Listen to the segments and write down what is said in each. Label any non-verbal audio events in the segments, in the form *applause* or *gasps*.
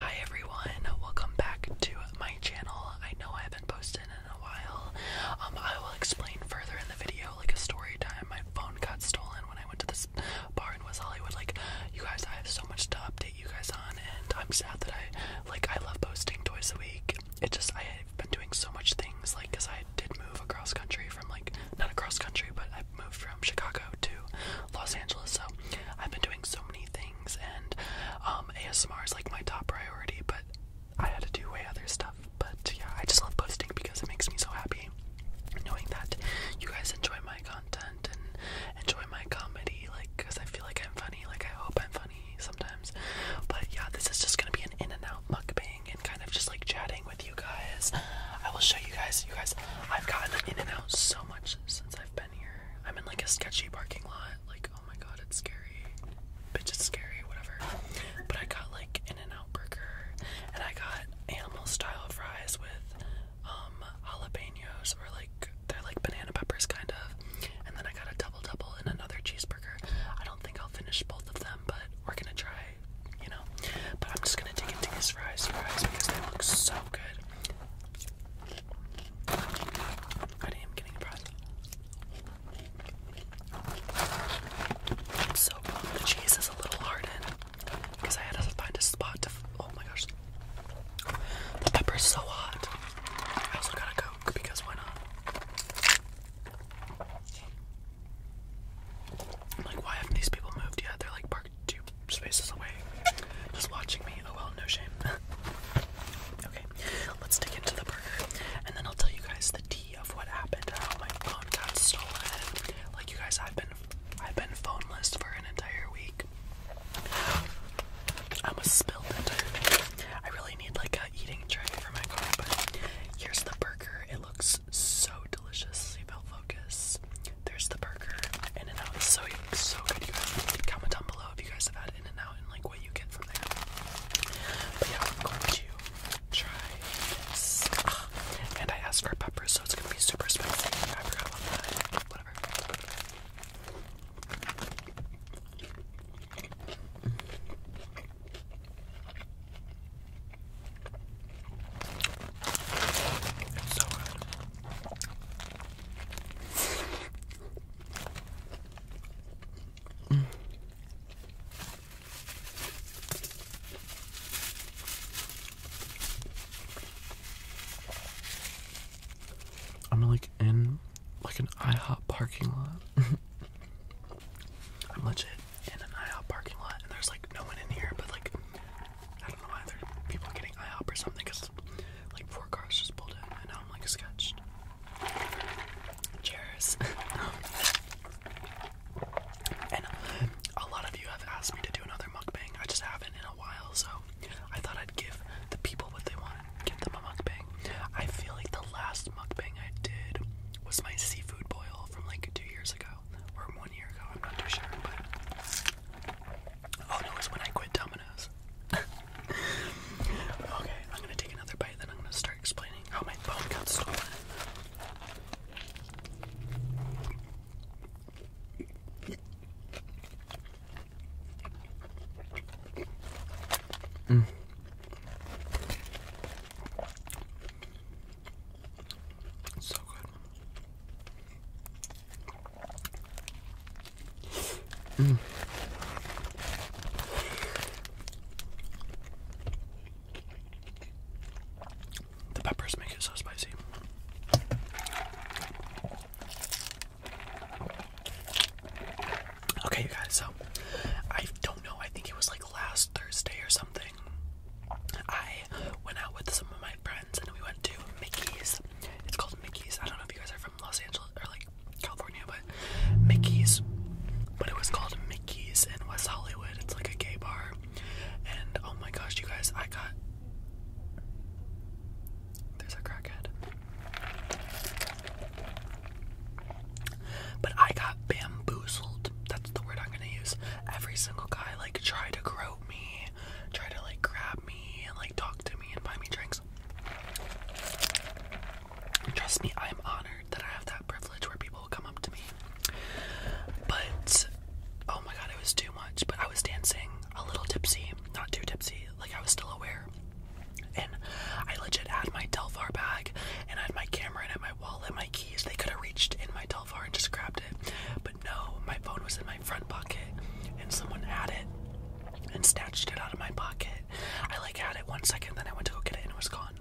Hi everyone, welcome back to my channel. I know I haven't posted in a while. Um, I will explain further in the video, like a story time. My phone got stolen when I went to this bar in West Hollywood. Like, you guys, I have so much to update you guys on, and I'm sad that I, like, I love posting twice a week. It just, I have been doing so much things, like, because I did move across country from, like, not across country, but I moved from Chicago to Los Angeles, so I've been doing so many things and um, ASMR is like my top priority, but I had to do way other stuff. But yeah, I just love posting because it makes me so happy knowing that you guys enjoy my content and enjoy my comedy, like, because I feel like I'm funny, like, I hope I'm funny sometimes. But yeah, this is just gonna be an in and out mukbang and kind of just like chatting with you guys. I will show you guys, you guys, I've gotten in and out so much since I've been. I'm in like a sketchy parking lot. Like, oh my god, it's scary. Bitch, it's scary, whatever. But I got like In N Out Burger and I got animal style fries with um jalapenos or like they're like banana peppers kind of. And then I got a double double and another cheeseburger. I don't think I'll finish both of them, but we're gonna try, you know. But I'm just gonna dig into these fries fries because they look so good. I am getting depressed. I'm so bummed the cheese is a little hardened because I had to find a spot to. oh my gosh. The pepper's so hot. I also got a Coke because why not? I'm like, why haven't these people moved yet? They're like parked two spaces away, just watching me. Oh well, no shame. *laughs* okay, let's dig into the burger, and then I'll tell you guys the tea of what happened, my phone got stolen. Like you guys, I've been, I've been phoneless for an entire week. I almost spilled it. I really need like a eating tray for my car, here's the burger. It looks so delicious. Seatbelt focus. There's the burger. In and out is so so good, you guys. Comment down below if you guys have had In and Out and like what you get from there. But yeah, I'm going to try this. Ah, and I asked for peppers, so it's gonna be super spicy. I forgot Whatever. It's so good. I'm like in like an IHOP parking lot. *laughs* I'm legit in an IHOP parking lot and there's like no one in here but like I don't know why there are people getting IHOP or something because like four cars just pulled in and now I'm like sketched. Cheers. *laughs* and a lot of you have asked me to do another mukbang. I just haven't in a while, so I thought I'd give the people what they want. Give them a mukbang. I feel like the last mukbang I did was my seafood boil from like two years ago or one year ago. I'm not too sure, but Oh no, it was when I quit Domino's. *laughs* okay, I'm gonna take another bite, then I'm gonna start explaining how my phone got stolen. Mm. So good. Mm. The peppers make it so spicy. Okay, you guys, so I don't know, I think it was like last Thursday or something. I went out with some of my friends and we went to Mickey's it's called Mickey's. I don't know if you guys are from Los Angeles or like California, but Mickey's. But it was called Mickey's in West Hollywood. It's like a gay bar. And oh my gosh, you guys, I got. There's a crackhead. But I got bamboozled. That's the word I'm gonna use. Every single guy like tried to grope me, tried to like grab me and like talk to me and buy me drinks. Trust me, I'm honored that I have that privilege where people will come up to me. But oh my god, it was too much. But I was dancing a little tipsy, not too tipsy, like I was still aware. And I legit had my Telfar bag and I had my camera and my wallet, my keys. They could have reached in my Telfar and just grabbed it. But no, my phone was in my my front pocket and someone had it and snatched it out of my pocket. I like had it one second, then I went to go get it and it was gone.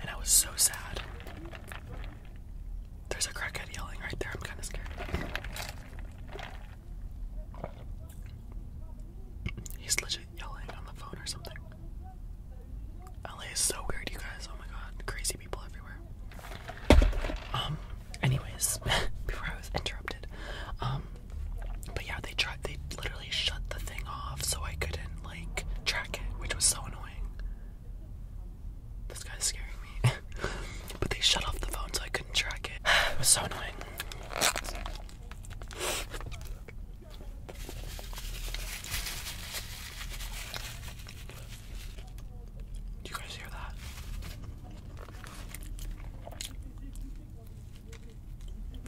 And I was so sad. There's a crackhead yelling right there. I'm kind of scared. He's legit yelling on the phone or something. LA is so weird, you guys. Oh my god. Crazy um, anyways, *laughs* before I was interrupted, um, but yeah, they tried, they literally shut the thing off so I couldn't, like, track it, which was so annoying. This guy's scaring me. *laughs* but they shut off the phone so I couldn't track it. *sighs* it was so annoying. Do you guys hear that?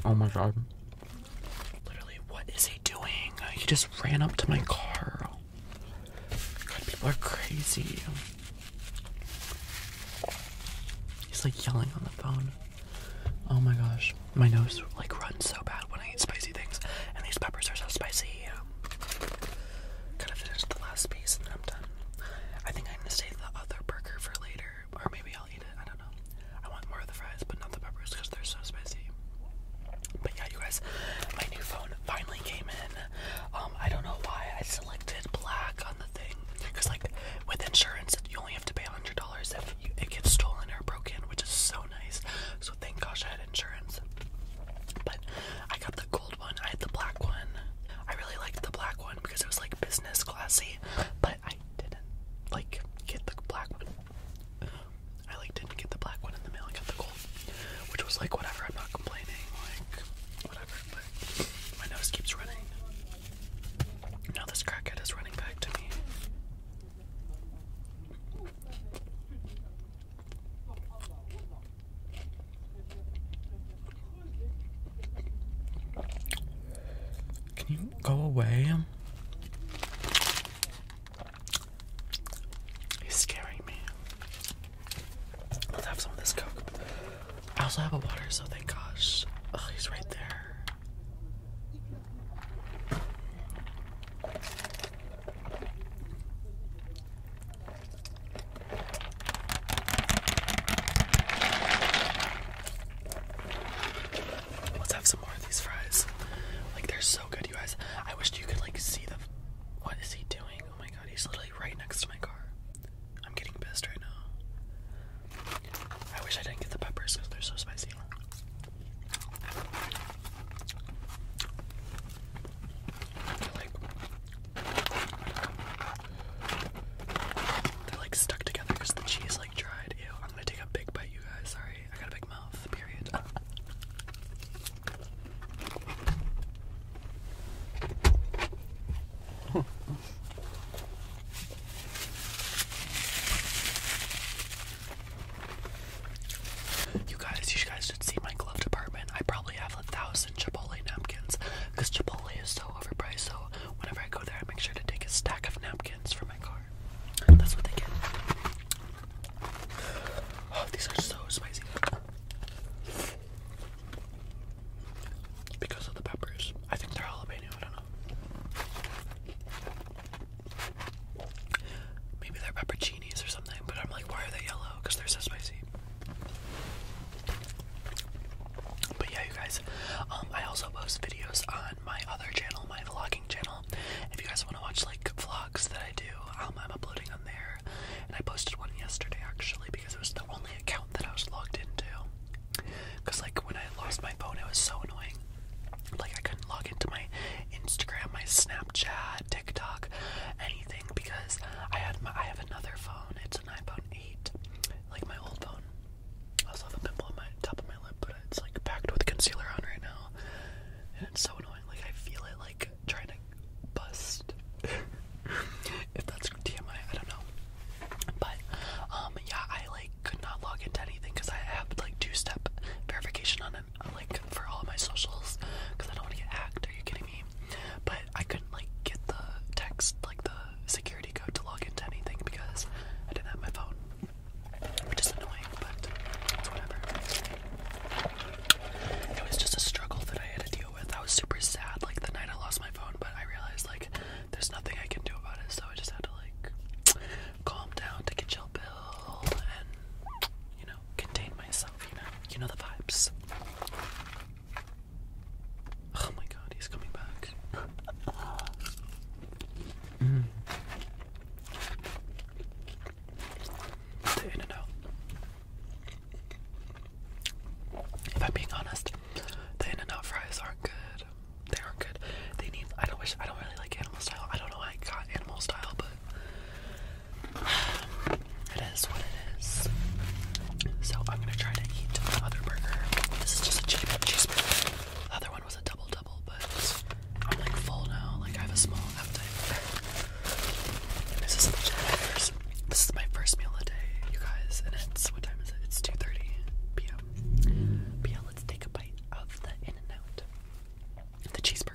Oh my god. Literally, what is he doing? He just ran up to my car. people are crazy. He's like yelling on the phone. Oh my gosh. My nose like runs so bad when I eat spicy things, and these peppers are so spicy. Gotta finish the last piece and then I'm done. I think I'm gonna save the other burger for later, or maybe I'll eat it. I don't know. I want more of the fries, but not the peppers because they're so spicy. But yeah, you guys, my new phone finally came in. Um, I don't know why I selected black on the thing because, like, with insurance, you only have to pay $100 if it gets stolen or broken, which is so nice. So thank gosh I had insurance. But I got the gold one. I had the black one. I really liked the black one because it was like business classy, but I didn't like get the black one. I like didn't get the black one in the mail. I got the gold, which was like whatever. I'm not complaining. Like whatever. But my nose keeps running. Now this crackhead is running back to me. Can you go away? He's scaring me. Let's have some of this coke. I also have a water, so thank gosh. Oh, he's right there. Let's have some more of these fries. Like they're so good, you guys. I wished you could like see the. What is he doing? Oh my god, he's literally right next to my car. I'm getting pissed right now. I wish I didn't get the peppers because they're so spicy. They're like, stuck together because the cheese like dried. Ew, I'm gonna take a big bite, you guys. Sorry, I got a big mouth, period. *laughs* You guys, you guys should see my glove department. I probably have a thousand Chipotle napkins because Chipotle is so overpriced. So whenever I go there, I make sure to take a stack of napkins for my car. That's what they get. Oh, these are so spicy because of the peppers. I think they're jalapeno. I don't know. Maybe they're pepperoncinis or something, but I'm like, why are they yellow? Because they're so spicy. But yeah, you guys, um, I also post videos on my other channel, my vlogging channel. If you guys want to watch like vlogs that I do, um, I'm uploading on there. And I posted one yesterday actually because it was the only account that I was logged into. Cause like when I lost my phone, it was so annoying. Like I couldn't log into my Instagram, my Snap, Snapchat, TikTok, anything because I had my I have another phone. It's an iPhone 8, like my old phone. I also have a pimple on my top of my lip, but it's like packed with concealer on right now, and it's so annoying. Like I feel it like trying to bust. *laughs* if that's DMI, I don't know. But um, yeah, I like could not log into anything because I have like two-step verification on it a like for all my socials because I don't want to get hacked. Are you kidding me? But I couldn't like get the text, like the security code to log into anything because I didn't have my phone, which is annoying, but it's whatever. It was just a struggle that I had to deal with. I was super sad like the night I lost my phone, but I realized like there's nothing I can do about it, so I just had to like calm down, to get your bill and you know contain myself, you know. You know the vibes. Oh my god, he's coming back. *laughs* mm. If I'm being honest, the in fries aren't good. They aren't good. They need I don't wish I don't really like animal style. I don't know why I got animal style, but it is what it is. So I'm gonna try to eat the other burger. This is just a chicken cheeseburger. The other one was a double double, but I'm like full now. Like I have a small appetite. This is legit my first. This is my first meal of the day, you guys. And it's what time is it? It's 2:30 p.m. But let's take a bite of the In-N-Out. The cheeseburger.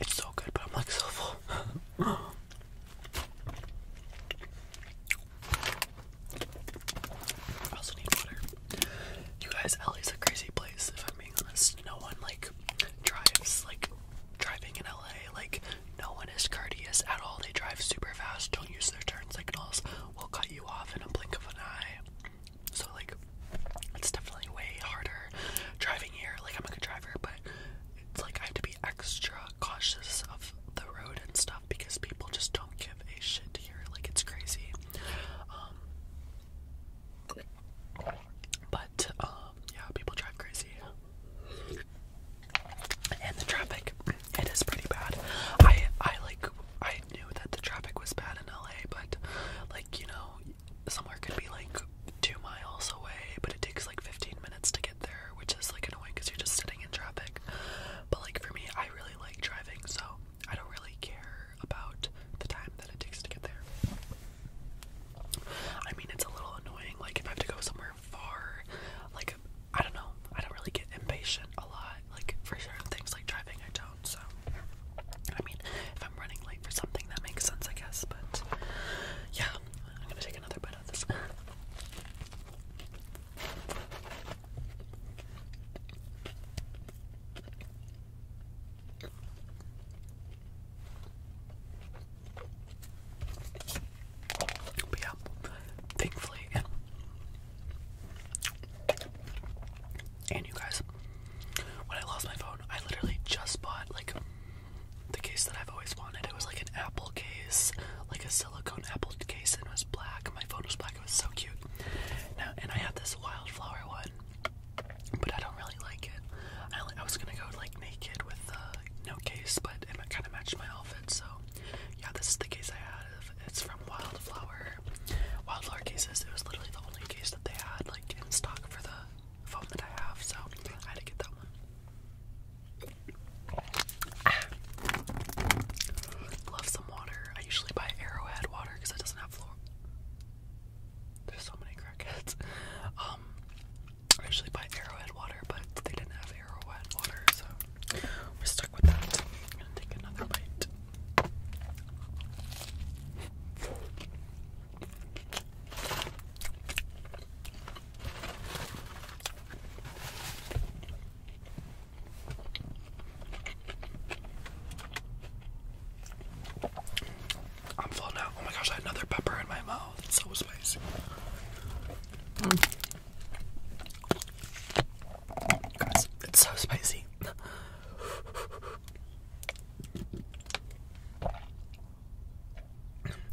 It's so good, but I'm like so full. *gasps* I also need water. You guys, LA's a crazy place, if I'm no one like drives like driving in LA. Like no one is courteous at all. They drive super fast. Don't use their turn signals. Will cut you off in a blink of an eye. So like, it's definitely way harder driving here. Like I'm a good driver, but it's like I have to be extra cautious of the road and stuff because people just don't give a shit here. Like it's crazy. Um, but um, yeah, people drive crazy, and the traffic it is pretty bad. I I like I knew that the traffic was bad in LA, but like you know, somewhere could be like two miles away, but it takes like 15 minutes to get there, which is like annoying because you're just sitting in traffic. But like for me, I really like driving, so I don't really care about the time that it takes to get there. I mean, it's a little annoying. Like, if I have to go somewhere far, like, I don't know. I don't really get impatient a lot. Like, for certain things like driving, I don't. So, I mean, if I'm running late for something, that makes sense, I guess. But, yeah, I'm gonna take another bite of this. But yeah, thankfully, and you guys, when I lost my phone, I literally just bought like the case that I've always wanted. It was like an Apple case, like a silicone Apple case, and it was black. My phone was black. It was so cute. Now, and I have this wildflower one, but I don't really like it. I, was gonna go like naked with uh, no case, but it kind of matched my outfit. So yeah, this is the case I have. It's from Wildflower. Wildflower cases. It was literally the only case that they had like in stock for the phone that I have. So I had to get that one. Ah. Love some water. I usually buy Arrowhead water because it doesn't have there's so many crickets. Um, I usually buy Arrowhead water, but they didn't have Arrowhead water, so we're stuck with that. I'm gonna take another bite. I'm full now. Oh my gosh, I had another pepper in my mouth. It's so spicy. Guys, it's so spicy.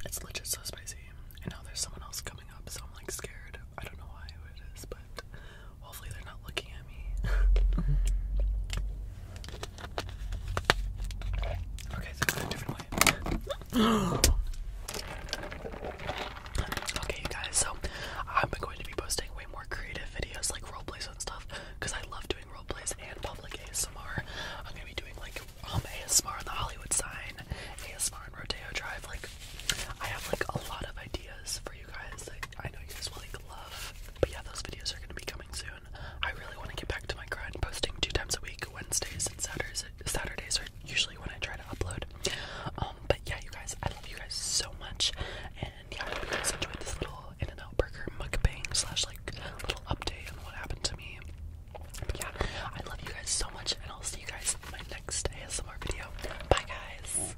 It's legit so spicy. And now there's someone else coming up, so I'm like scared. I don't know why it is, but Hopefully, they're not looking at me. okay, so different way. *gasps* okay, you guys, so I'm going to be posting way more creative videos like roleplays and stuff because I love doing roleplays and public ASMR. I'm going to be doing like um, ASMR on the Hollywood sign, ASMR on Rodeo Drive. Like, I have like a lot of ideas for you you guys. I know you guys will love. But yeah, those videos are gonna be coming soon. I really want to get back to my grind, posting two times a week. Wednesdays and Saturdays. Saturdays are usually when I try to upload. Um, but yeah, you guys, I love you guys so much. And yeah, I hope you guys enjoyed this little In and mukbang slash like little update on what happened to me. But yeah, I love you guys so much, and I'll see you guys in my next ASMR video. Bye, guys.